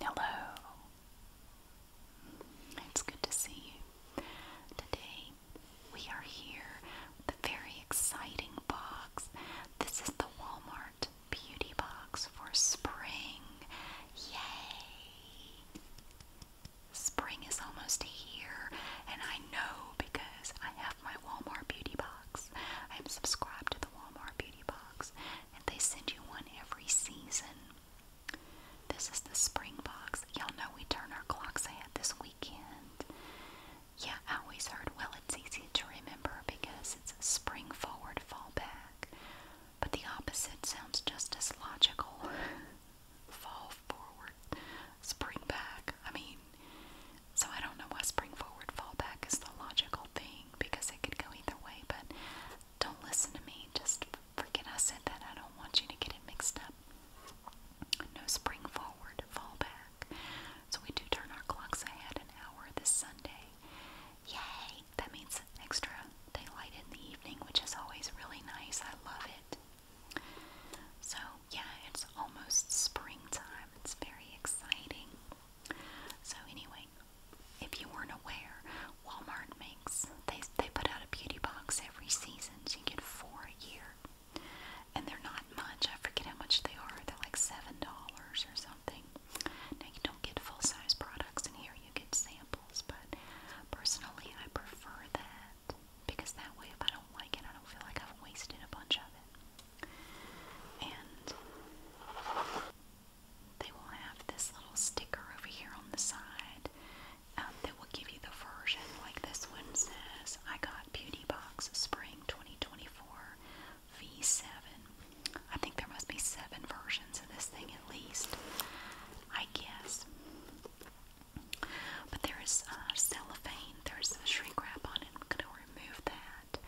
Hello. It's good to see you. Today we are here with a very exciting box. This is the Walmart Beauty Box for spring. Yay! Spring is almost here, and I know because I have my Walmart Beauty Box. I'm subscribed to the Walmart Beauty Box, and they send you one every season. This is the spring box. Y'all know we turn our clocks ahead this weekend. Yeah, I always heard, well, it's easy to remember because it's spring forward, fall back. But the opposite sounds just as logical. fall forward, spring back. I mean, so I don't know why spring forward, fall back is the logical thing because it could go either way, but don't listen to me. Just forget I said that. I don't want you to get it mixed up. No spring forward, fall back. So we do turn our clocks ahead an hour this Sunday. Yay! That means extra daylight in the evening, which is always really nice. I love it. So, yeah, it's almost springtime. It's very exciting. So, anyway, if you weren't aware, Walmart makes, they, they put out a beauty box every season. So you get four a year. And they're not much. I forget how much they are. They're like $7 or something. Now, you don't get full size products in here, you get samples, but personally, I prefer that. Because that way, if I don't like it, I don't feel like I've wasted a bunch of it. And they will have this little sticker over here on the side um, that will give you the version. Like this one says, I got Beauty Box Spring 2024 V7. I think there must be seven versions of this thing at least. I guess. But there is uh, cellophane, there is a shrink wrap on it. I'm going to remove that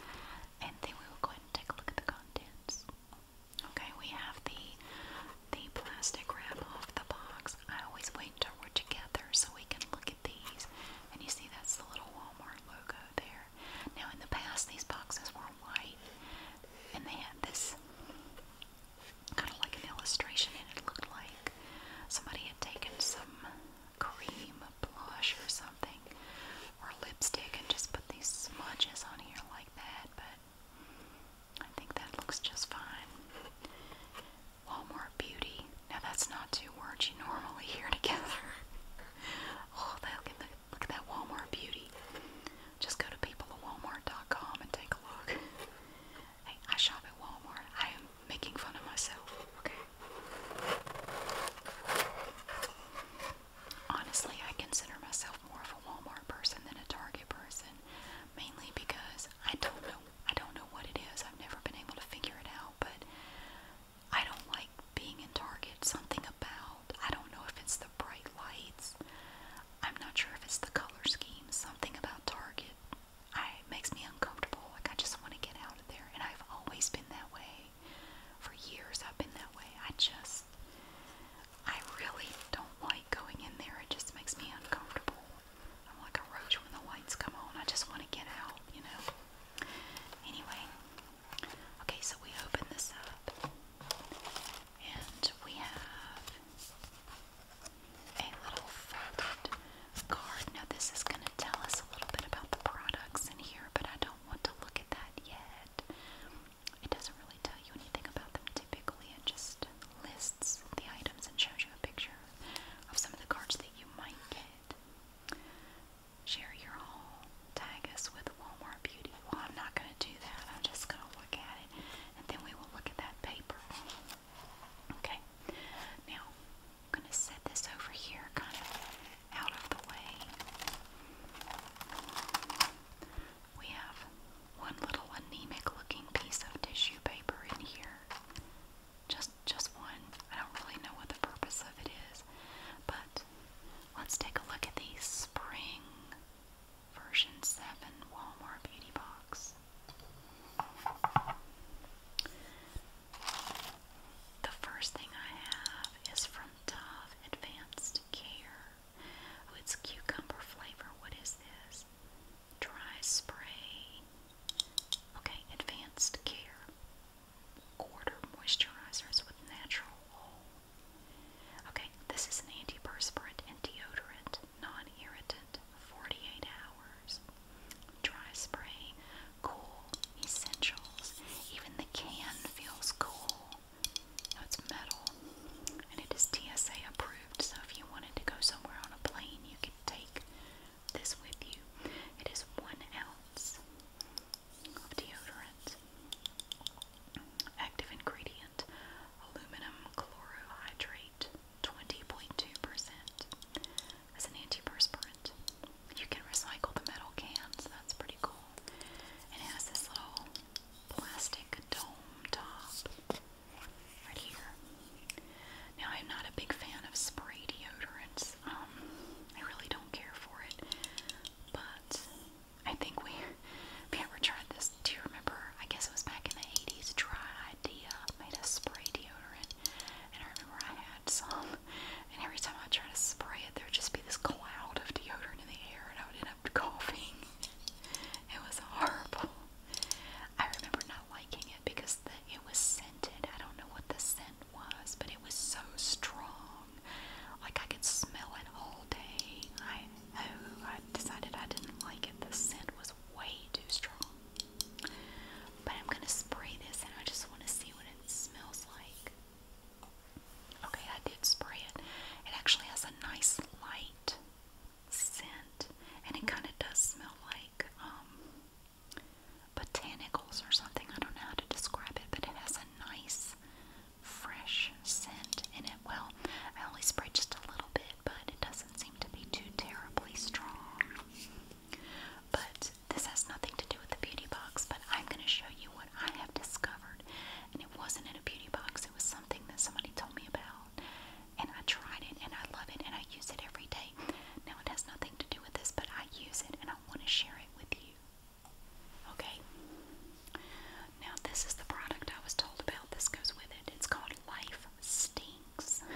and then we will go ahead and take a look at the contents. Okay, we have the the plastic wrap off the box. I always wait until we're together so we can look at these. And you see that's the little Walmart logo there. Now in the past these boxes were white and they had this kind of like an illustration and it looked like somebody had taken some cream blush or something or lipstick and just put these smudges on here like that, but I think that looks just fine. Walmart Beauty. Now that's not two words you normally hear together. oh, look, at, that Walmart Beauty. Just go to people and take a look. Hey, I shop at Walmart. I am making fun of myself, okay? Honestly, I consider myself more of a Walmart person than a Target person, mainly because I don't know I don't know what it is. I've never been able to figure it out, but I don't like being in Target. Something about I don't know if it's the bright lights. I'm not sure if it's the color scheme. Something about Target I it makes me uncomfortable. Like I just want to get out of there. And I've always been that way. For years I've been that way. I just I really don't like going in there. It just makes me uncomfortable. I'm like a roach when the lights come on. I just want to get out, you know. Anyway. Okay, so we open this up. And we have a little folded of card. Now this is going to tell us a little bit about the products in here, but I don't want to look at that yet. It doesn't really tell you anything about them typically. It just lists the items and shows you a picture of some of the cards that you might get. Share your haul. Tag us with Walmart Beauty. Well, I'm not going to do that. I'm just going to look at it, and then we will look at that paper. Okay. Now, I'm going to set this over here kind of out of the way. We have one little anemic looking piece of tissue paper in here. Just just one. I don't really know what the purpose of it is. But let's take a look at the spring version 7 Walmart Beauty Box. The first thing I have is from Dove Advanced Care. Oh, it's cucumber flavor. What is this? Dry spray. Okay, Advanced Care. Quarter moisturizers with natural oil. Okay, this is an antiperspirant and deodorant, non irritant, 48 hours. Dry spray, cool essentials. Even the can feels cool. it's metal and it is TSA approved, so if you wanted to go somewhere on a plane, you can take this with you. It is one ounce of deodorant. Active ingredient aluminum chlorohydrate, 20.2% as an antiperspirant. You can recycle the metal cans, that's pretty cool. And it has this little plastic dome top right here. Now, I'm not a big fan of spray deodorants. Um, I really don't care for it. But I think we, we ever tried this. Do you remember? I guess it was back in the 80s. Dry Idea made a spray deodorant. And I remember I had some and every time I try to spray it, there'd just be this cloud of deodorant in the air, and I would end up coughing. it was horrible. I remember not liking it because it was scented. I don't know what the scent was, but it was so strong. Like I could smell it all day. I oh, I decided I didn't like it. The scent was way too strong. But I'm gonna spray this and I just wanna see what it smells like. Okay, I did spray it. It actually has a nice light scent and it kinda does smell like um botanicals or something. I don't know how to describe it, but it has a nice fresh scent in it. Well, I only sprayed just a little bit, but it doesn't seem to be too terribly strong. But this has nothing to do with the beauty box, but I'm going to show you what I have discovered. And it wasn't in a beauty box, it was something that somebody told me about. And I tried it and I love it and I use it every day. Now it has nothing to do with this, but I use it and I want to share it with you. Okay? Now, this is the product I was told about. This goes with it. It's called Life Stinks.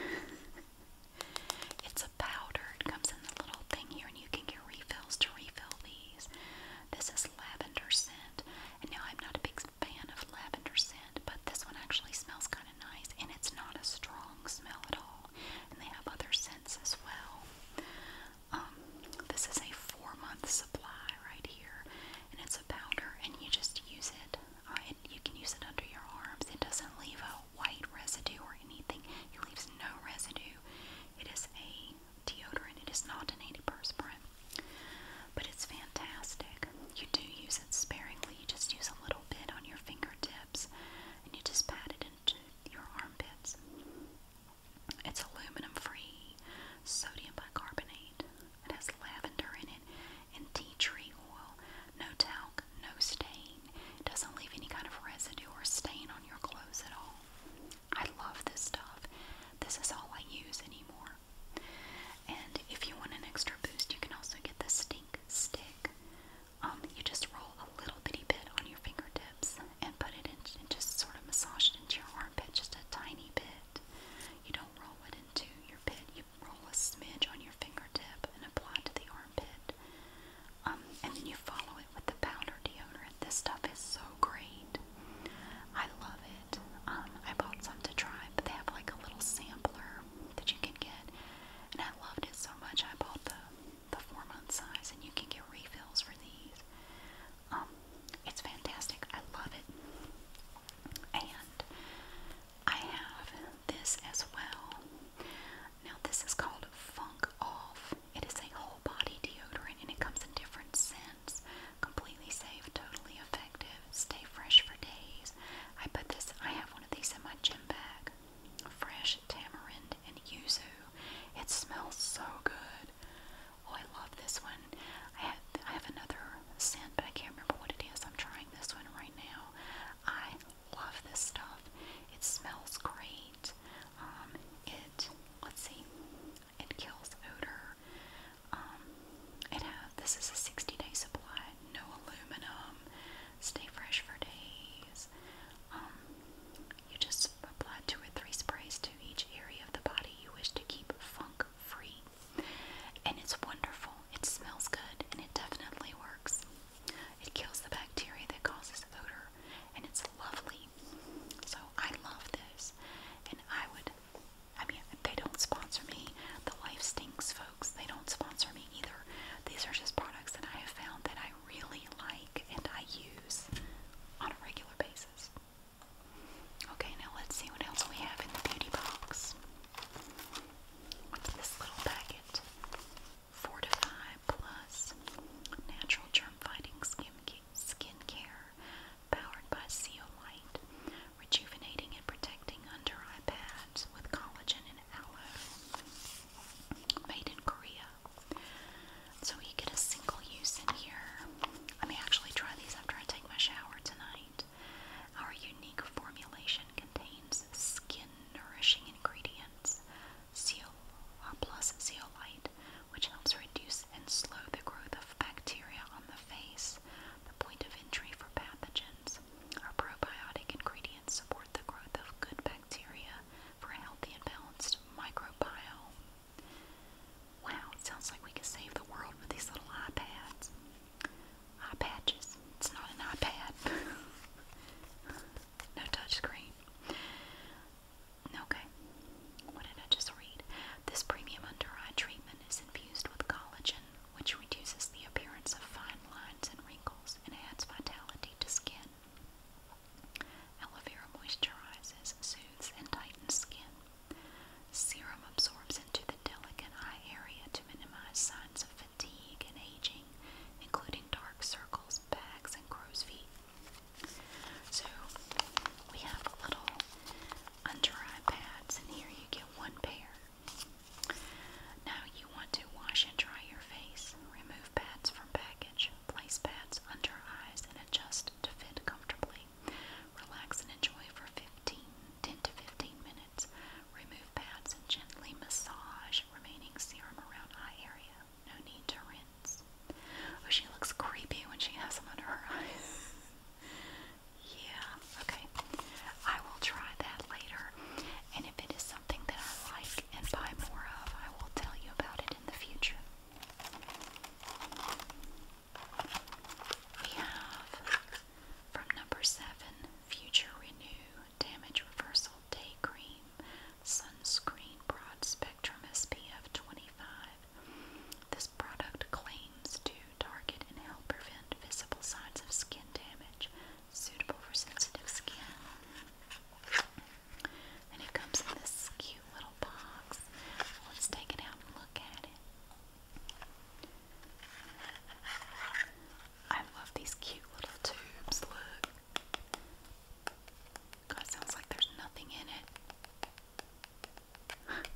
It's a powder. It comes in the little thing here, and you can get refills to refill these. This is lavender scent, and now I'm not a big fan of lavender scent, but this one actually smells kind of nice, and it's not a strong smell at all. And they have other scents as well. Um, this is a four-month supply right here, and it's a powder, and you just use it. Uh, you can use it under your arms. It doesn't leave a white residue or anything. It leaves no residue. It is a deodorant. It is not an antiperspirant. But it's fantastic. You do use it sparingly. You just use a little bit on your fingertips and you just pat it into your armpits. It's aluminum free, sodium bicarbonate. It has lavender in it and tea tree oil no talc, no stain. doesn't leave any kind of residue or stain on your clothes at all. I love this stuff. This is all I use anymore. And if you want an extra boost, you can also get the stink stick. Um, you just roll a little bitty bit on your fingertips and put it in just sort of massage it into your armpit just a tiny bit. You don't roll it into your pit, you roll a smidge on your fingertip and apply it to the armpit armpit. Um, and then you follow it with the powder deodorant. This stuff is so great. I love it. Um, I bought some to try, but they have like a little sampler that you can get. And I loved it so much I bought the the four month size and you can get refills for these. Um, it's fantastic. I love it. And I have this as well. Now, this is called Funk Off. It is a whole body deodorant and it comes in different scents. Completely safe, totally effective. Stay fresh for days. I put this, I have one of these in my gym bag. Fresh tamarind and yuzu. It smells so good. Oh, I love this one. I have, I have another scent, but I can't remember what it is. I'm trying this one right now. I love this stuff. It smells great. Um, it, let's see, it kills odor. Um, it has, this is a 60 day supply, no aluminum, stay fresh for days. Um, you just apply two or three sprays to each area of the body you wish to keep funk free. And it's wonderful. It smells good and it definitely works. It kills the bacteria that causes odor, and it's lovely. So I love this, and I would. I mean, they don't sponsor me. The Life Stinks folks, they don't sponsor me either. These are just products that I have found that I really like and I use on a regular basis. Okay, now let's see what else we have in the beauty box. What's this little packet? Fortify Plus Natural Germ Fighting Skin, skin Care powered by Zeolite, rejuvenating and protecting under eye pads with collagen and aloe. Made in Korea. So you get a single use in here. I may actually try these after I take my shower tonight. Our unique formulation contains skin nourishing ingredients zeol uh, plus zeolite, which helps reduce and slow the growth of bacteria on the face, the point of entry for pathogens. Our probiotic ingredients support the growth of good bacteria for a healthy and balanced microbiome. Wow, it sounds like we can save the world with these little iPads. Eye patches. It's not an iPad. No touchscreen. Okay. What did I just read? This premium under eye treatment is infused with collagen, which reduces the appearance of fine lines and wrinkles and adds vitality to skin. Aloe vera moisturizes, soothes, and tightens skin. Serum absorbs into the delicate eye area to minimize signs of fatigue and aging, including dark circles, bags, and crow's feet. So we have little under eye pads, and here you get one pair. Now you want to wash and dry your face. Remove pads from package. Place pads under eyes and adjust to fit comfortably. Relax and enjoy for 15, 10 to 15 minutes. Remove pads and gently massage remaining serum around eye area no need to rinse. Oh, she looks creepy when she has them under her eyes. yeah, okay. I will try that later. And if it is something that I like and buy more of, I will tell you about it in the future. We have from number seven Future Renew Damage Reversal Day Cream Sunscreen Broad Spectrum SPF 25. This product claims to target and help prevent visible signs of skin damage, suitable for sensitive skin. And it comes in this cute little box. Let's take it out and look at it. I love these cute little tubes. Look. God, it sounds like there's nothing in it.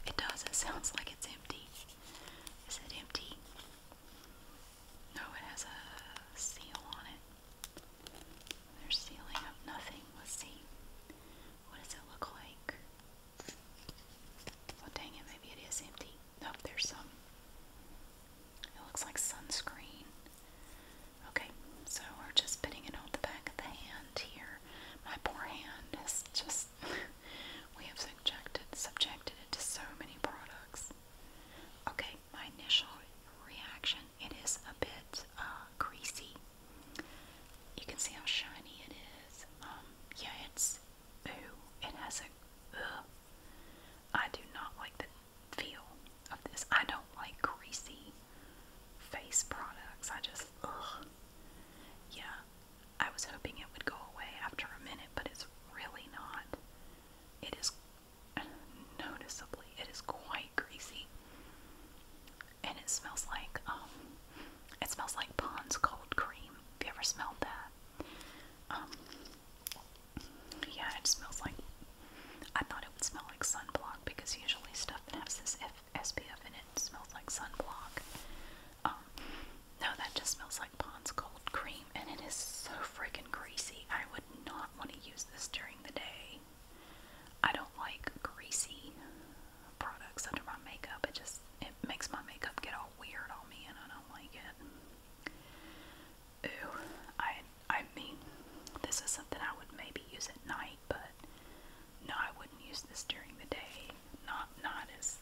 It does. It sounds like it's empty. Is it empty? No, it has a seal on it. They're sealing up nothing. Let's see. What does it look like? Well, oh, dang it, maybe it is empty. Nope, there's some. It looks like sunscreen. Okay, so we're just putting it on the back of the hand here. My poor hand is just, we have subjected, subjected it to so many products. Okay, my initial reaction, it is a bit uh, greasy. You can see how shiny it is. Um, yeah, it's, it has a, do not like the feel of this. I don't like greasy face products. I just, ugh. Yeah, I was hoping it would go away after a minute, but it's really not. It is noticeably, it is quite greasy. And it smells like, um, it smells like Pond's cold cream. Have you ever smelled that? Um, yeah, it smells like. I thought it would smell like sunblock because usually stuff that has this F SPF in it smells like sunblock. Um, no, that just smells like Pond's Cold Cream, and it is so freaking greasy. I would not want to use this during the day. I don't like greasy products under my makeup. It just it makes my makeup get all weird on me, and I don't like it ooh, I I mean, this is something I would maybe use at night, but no, I wouldn't use this during the day. Not not as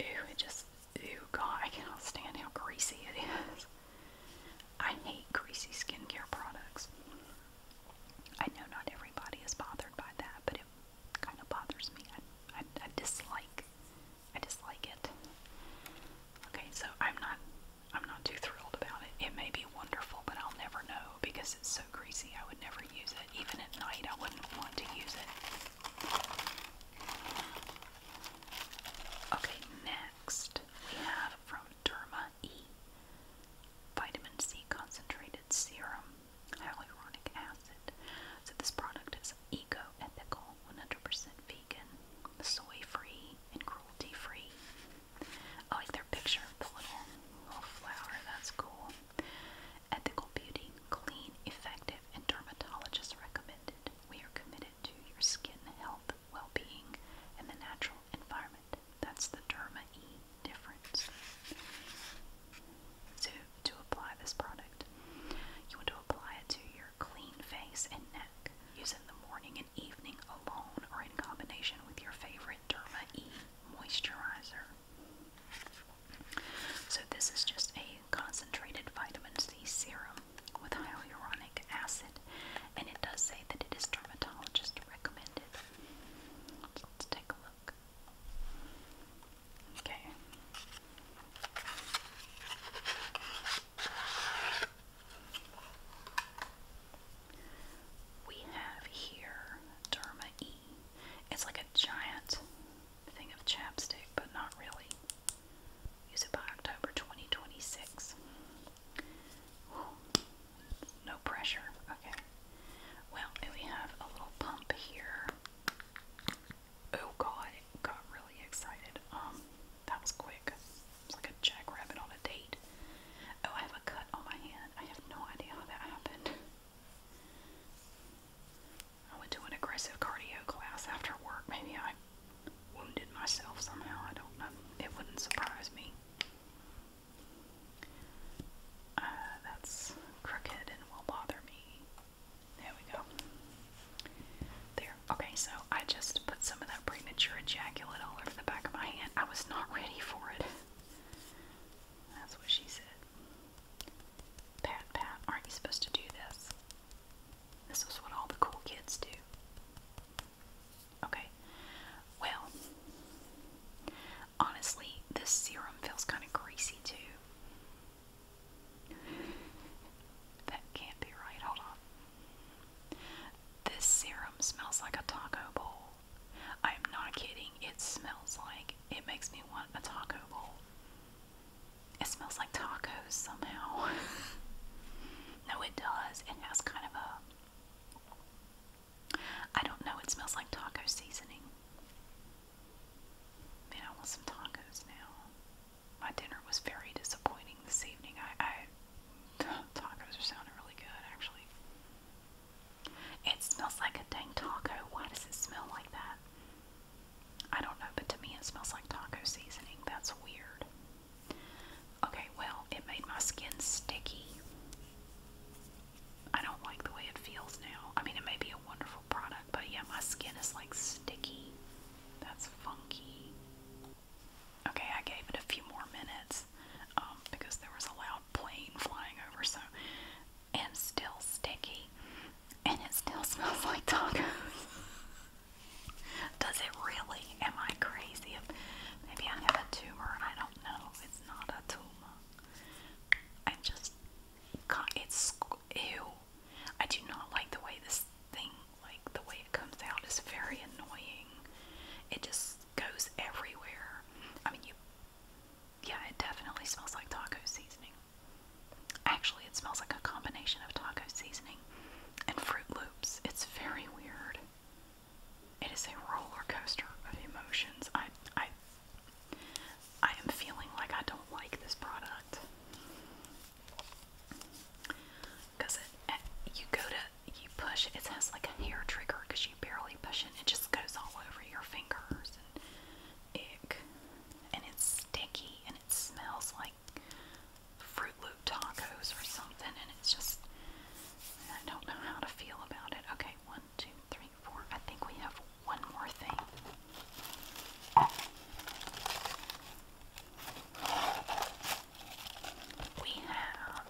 ooh, it just ooh, God, I cannot stand how greasy it is. I hate greasy skincare products. I know not everybody is bothered by that, but it kind of bothers me. I, I, I dislike, I dislike it. Okay, so I'm not I'm not too thrilled about it. It may be wonderful, but I'll never know because it's so greasy. I would never use it. Even at night, I wouldn't want to use it. Okay, next we have from Derma E Vitamin C Concentrated Serum Hyaluronic Acid. So, this product is eco ethical, 100 vegan, soy free and cruelty free. I like their picture of the little, little flower, that's cool. Ethical beauty, clean, effective, and dermatologist recommended. We are committed to your skin health, well being, and the natural environment. That's the Derma E difference. So, to apply this product, you want to apply it to your clean face and neck. Use in the morning and evening alone or in combination with your favorite Derma E moisturizer. So, this is just a concentrated vitamin C serum with hyaluronic acid, and it does say that it is dermatologist recommended. let's take a look. Okay. We have here Derma E. It's like a giant thing of chapstick, but not really. Use it by October 2026. no pressure. Okay. Well, and we have a little pump here. Oh god, got really excited. Um that was quick. It's like a jackrabbit on a date. Oh, I have a cut on my hand. I have no idea how that happened. I went to an aggressive cardio class after work. Maybe I wounded myself somehow. I don't know. It wouldn't surprise me. Uh, that's crooked and will bother me. There we go. There. Okay, so I just put some of that premature ejaculate all over the back of my hand. I was not ready for it. That's what she said. Pat, pat, aren't you supposed to do this? This is what all the cool kids do. Okay, well, honestly, this serum feels kind of greasy too. That can't be right. Hold on. This serum smells like a taco bowl. I am not kidding. It smells like it makes me want a taco bowl. It smells like tacos somehow. no, it does. It has kind of a. I don't know. It smells like taco seasoning. Man, I want some tacos now. My dinner was very disappointing this evening. I, Tacos are sounding really good, actually. It smells like a dang taco. Why does it smell like that? I don't know, but to me it smells like taco seasoning. That's weird. Okay, well, it made my skin sticky. I don't like the way it feels now. I mean, it may be a wonderful product, but yeah, my skin is like sticky. That's funky. Okay, I gave it a few more minutes um, because there was a loud plane flying over, so and still sticky, and it still smells like tacos. Does it really? Am I crazy? Maybe I have a tumor. I don't know. It's not a tumor. I just, it's ew. I do not like the way this thing like the way it comes out is very annoying. It just goes everywhere. I mean, you, yeah, it definitely smells like taco seasoning. Actually, it smells like a combination of taco seasoning and Fruit Loops. It's very weird. It is a roller coaster of emotions. I, I, I am feeling like I don't like this product. Because eh, you go to, you push, it has like a hair trigger because you barely push it, and it just goes all over your fingers and ick. And it's sticky and it smells like Fruit Loop tacos or something, and it's just, I don't know how to feel about it. Okay, one, two, three, four. I think we have one more thing we have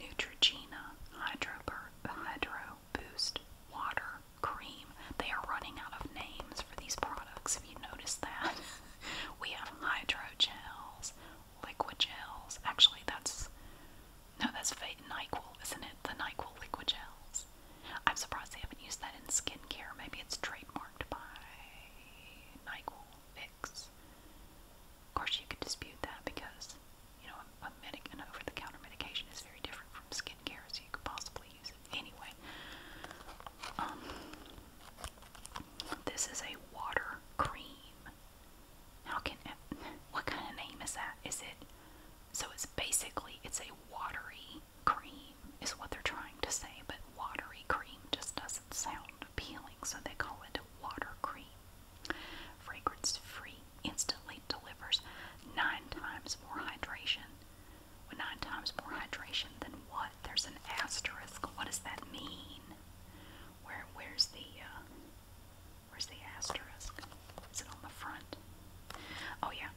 Neutrogena Hydro, Boost Water Cream. They are running out of names for these products, if you noticed that. we have Hydro Gels, Liquid Gels. Actually, that's, no, that's NyQuil, isn't it? The NyQuil Liquid Gels. I'm surprised they haven't used that in skincare. Maybe it's trademarked by NyQuil. Of course, you could dispute that because, you know, a, medic, an over-the-counter medication is very different from skincare, so you could possibly use anyway. Um, this is a water cream. How can it, what kind of name is that? Is it so? It's basically it's a watery cream, is what they're trying to say, but watery cream just doesn't sound appealing, so they call it water cream. Fragrance free instantly delivers nine times more hydration. Well, nine times more hydration than what? There's an asterisk. What does that mean? Where where's the uh, where's the asterisk? Is it on the front? Oh yeah.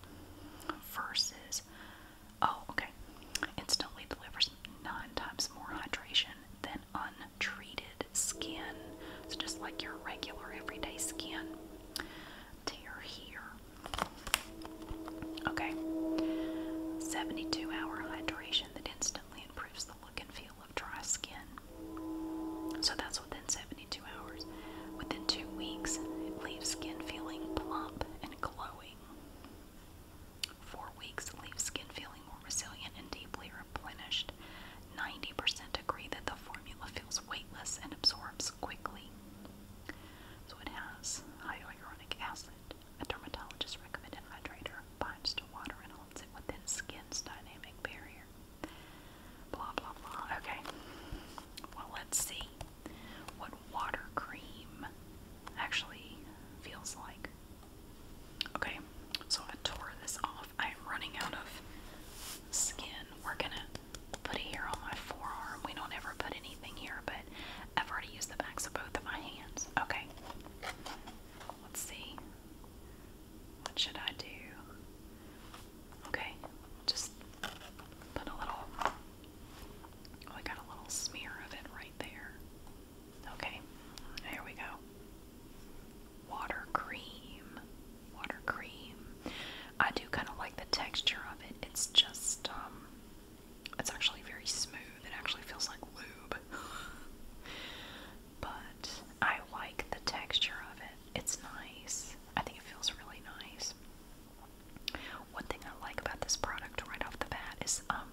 Versus oh okay. Instantly delivers nine times more hydration than untreated skin. It's just like your regular everyday skin to your hair. Okay. 72 hour hydration that instantly improves the look and feel of dry skin. So that's within 72 hours. Within two weeks, leaves skin feeling plump and glowing. Four weeks leaves skin feeling more resilient and deeply replenished. 90% agree that the formula feels weightless and absorbs quickly. So it has hyaluronic acid, a dermatologist recommended hydrator, binds to water and holds it within skin's dynamic barrier. Blah blah blah. Okay. Well, let's see what water cream actually feels like. Okay, so I tore this off. I am running out of skin. We're gonna put it here on my forearm. We don't ever put anything here, but I've already used the backs of both of my hands. Okay, let's see. What should I do? Okay, just put a little. Oh, got a little smear of it right there. Okay, here we go. Water cream. Water cream. I do kind of like the texture of it. It's just, um, it's actually very smooth. It actually feels like lube. but I like the texture of it. It's nice. I think it feels really nice. One thing I like about this product right off the bat is, um,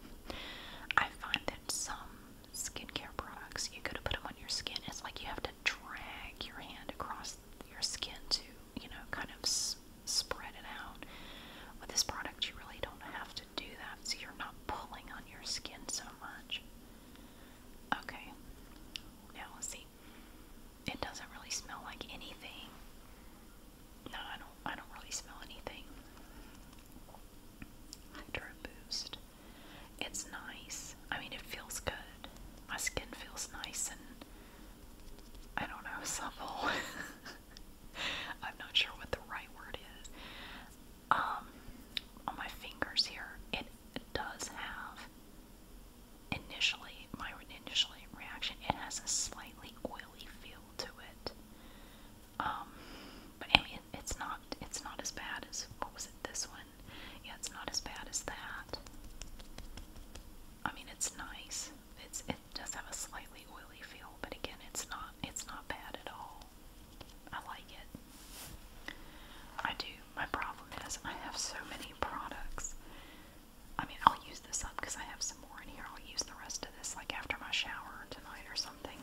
I find that some skincare products, you could to put them on your skin. It's like you have to drag your hand across your skin to, you know, kind of spread it out. With this product, you really don't have to do that, so you're not pulling on your skin so much. Okay, now let's see. It doesn't really smell like anything. No, I don't. I don't really smell anything. Hydro Boost. It's nice. I mean, it feels good. My skin feels nice and I don't know, supple. I'm not sure what the right word is. Um, on my fingers here, it does have initially my initial reaction. It has a slightly oily feel to it, um, but I mean, it's not it's not as bad as what was it? This one? Yeah, it's not as bad as that. I mean, it's nice. It's it does have a slightly oily feel, but again, it's not it's not bad at all. I like it. I do. My problem is I have so many products. I mean, I'll use this up because I have some more in here. I'll use the rest of this like after my shower tonight or something.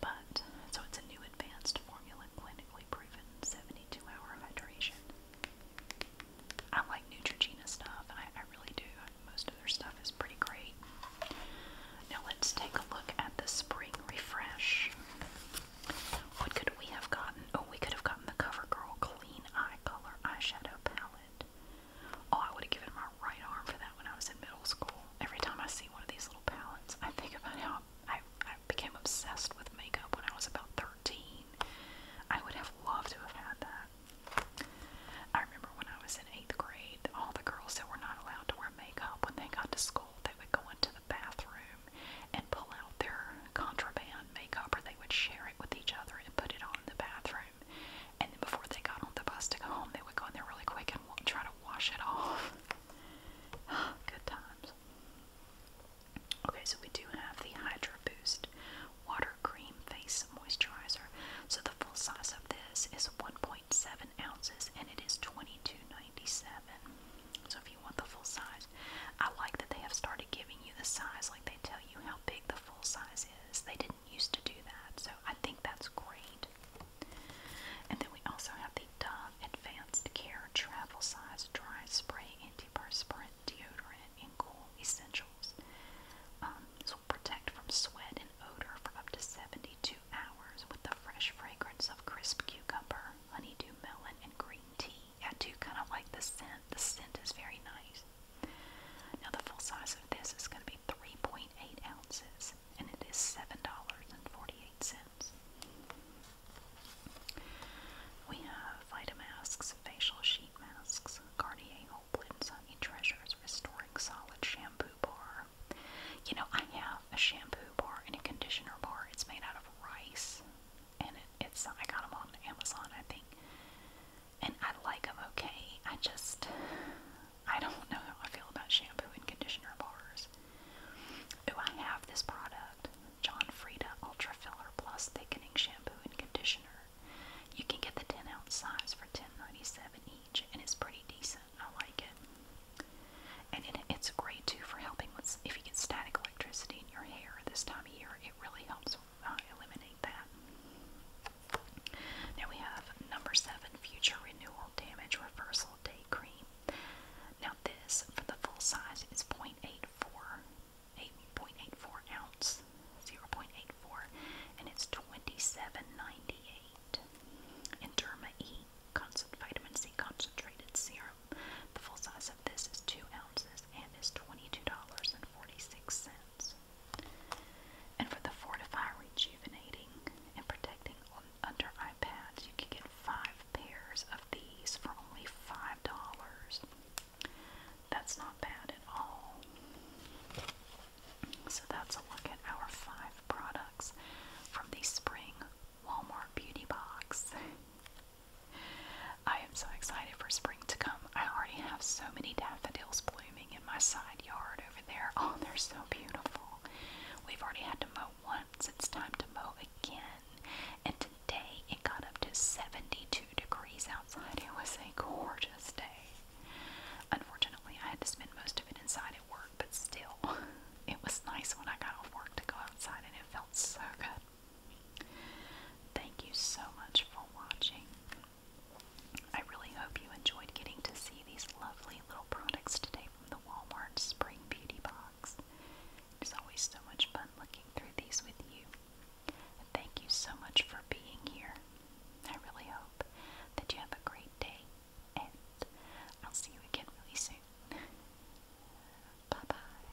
But, so it's a new advanced formula, clinically proven 72 hour hydration. I like Neutrogena stuff, and I, I really do. Most of their stuff is pretty great. Now let's take a look at the spring refresh. What could we have gotten? Oh, we could have gotten the CoverGirl Clean Eye Color Eyeshadow Palette. Oh, I would have given my right arm for that when I was in middle school. Every time I see one of these little palettes, I think about how I, I became obsessed with makeup when I was about 13. I would have loved to have had that. I remember when I was in eighth grade, all the girls that were not allowed to wear makeup, when they got to school, they would go into the bathroom and pull out their contraband makeup, or they would share it with each other and put it on in the bathroom. And then before they got on the bus to go home, they would go in there really quick and try to wash it off. Good times. Okay, so we do have the Hydro Boost Water Cream Face Moisturizer. So the full size of this is 1.7 ounces and it So if you want the full size, I like that they have started giving you the size, like they tell you how big the full size is. They didn't used to do that, so I think that's great. And then we also have the Dove Advanced Care Travel Size Dry Spray Antiperspirant Deodorant in Cool Essentials. Um, this will protect from sweat and odor for up to 72 hours with the fresh fragrance of crisp cucumber, honeydew melon, and green tea. I do kind of like the scent. The scent is very nice. Now the full size this is going to be 3.8 ounces, and it is $7.48. We have Vitamasks facial sheet masks, Garnier Whole Blend Sunny Treasures Restoring Solid Shampoo Bar. You know, I have a shampoo bar and a conditioner bar. It's made out of rice, and it's I got them on Amazon, I think. And I like them okay. I just I don't know how I feel about shampoo and conditioner bars. Do I have this product. John Frieda Ultra Filler Plus Thickening Shampoo and Conditioner. You can get the 10 ounce size for 10.97 each, and it's pretty decent. I like it. And it's great too for helping with if you get static electricity in your hair this time of year, it really helps uh, eliminate that. Now we have number seven, Future Renewal Damage Reversal Day Cream. Now this, for the full size, is 0.84, 8.84 ounce, 0.84, and it's 27.98. And Derma E Vitamin C Concentrated Serum. The full size of this is 2 ounces and is $22.46. And for the Fortify Rejuvenating and Protecting Under Eye Pads, you can get five pairs of these for only $5. That's not bad at all. So that's a look at our five products from the spring Walmart Beauty Box. I am so excited for spring to come. I already have so many daffodils blooming in my side yard over there. Oh, they're so beautiful. We've already had to mow once. It's time to mow again. And today it got up to 72 degrees outside. It was a gorgeous day. Unfortunately, I had to spend most of it inside at work, but still, it was nice when I got off work to go outside and it felt so good. Thank you so much for watching. I really hope you enjoyed getting to see these lovely little products today from the Walmart Spring Beauty Box. It's always so much fun looking through these with you. And thank you so much for being here. I really hope that you have a great day, and I'll see you again really soon. bye bye.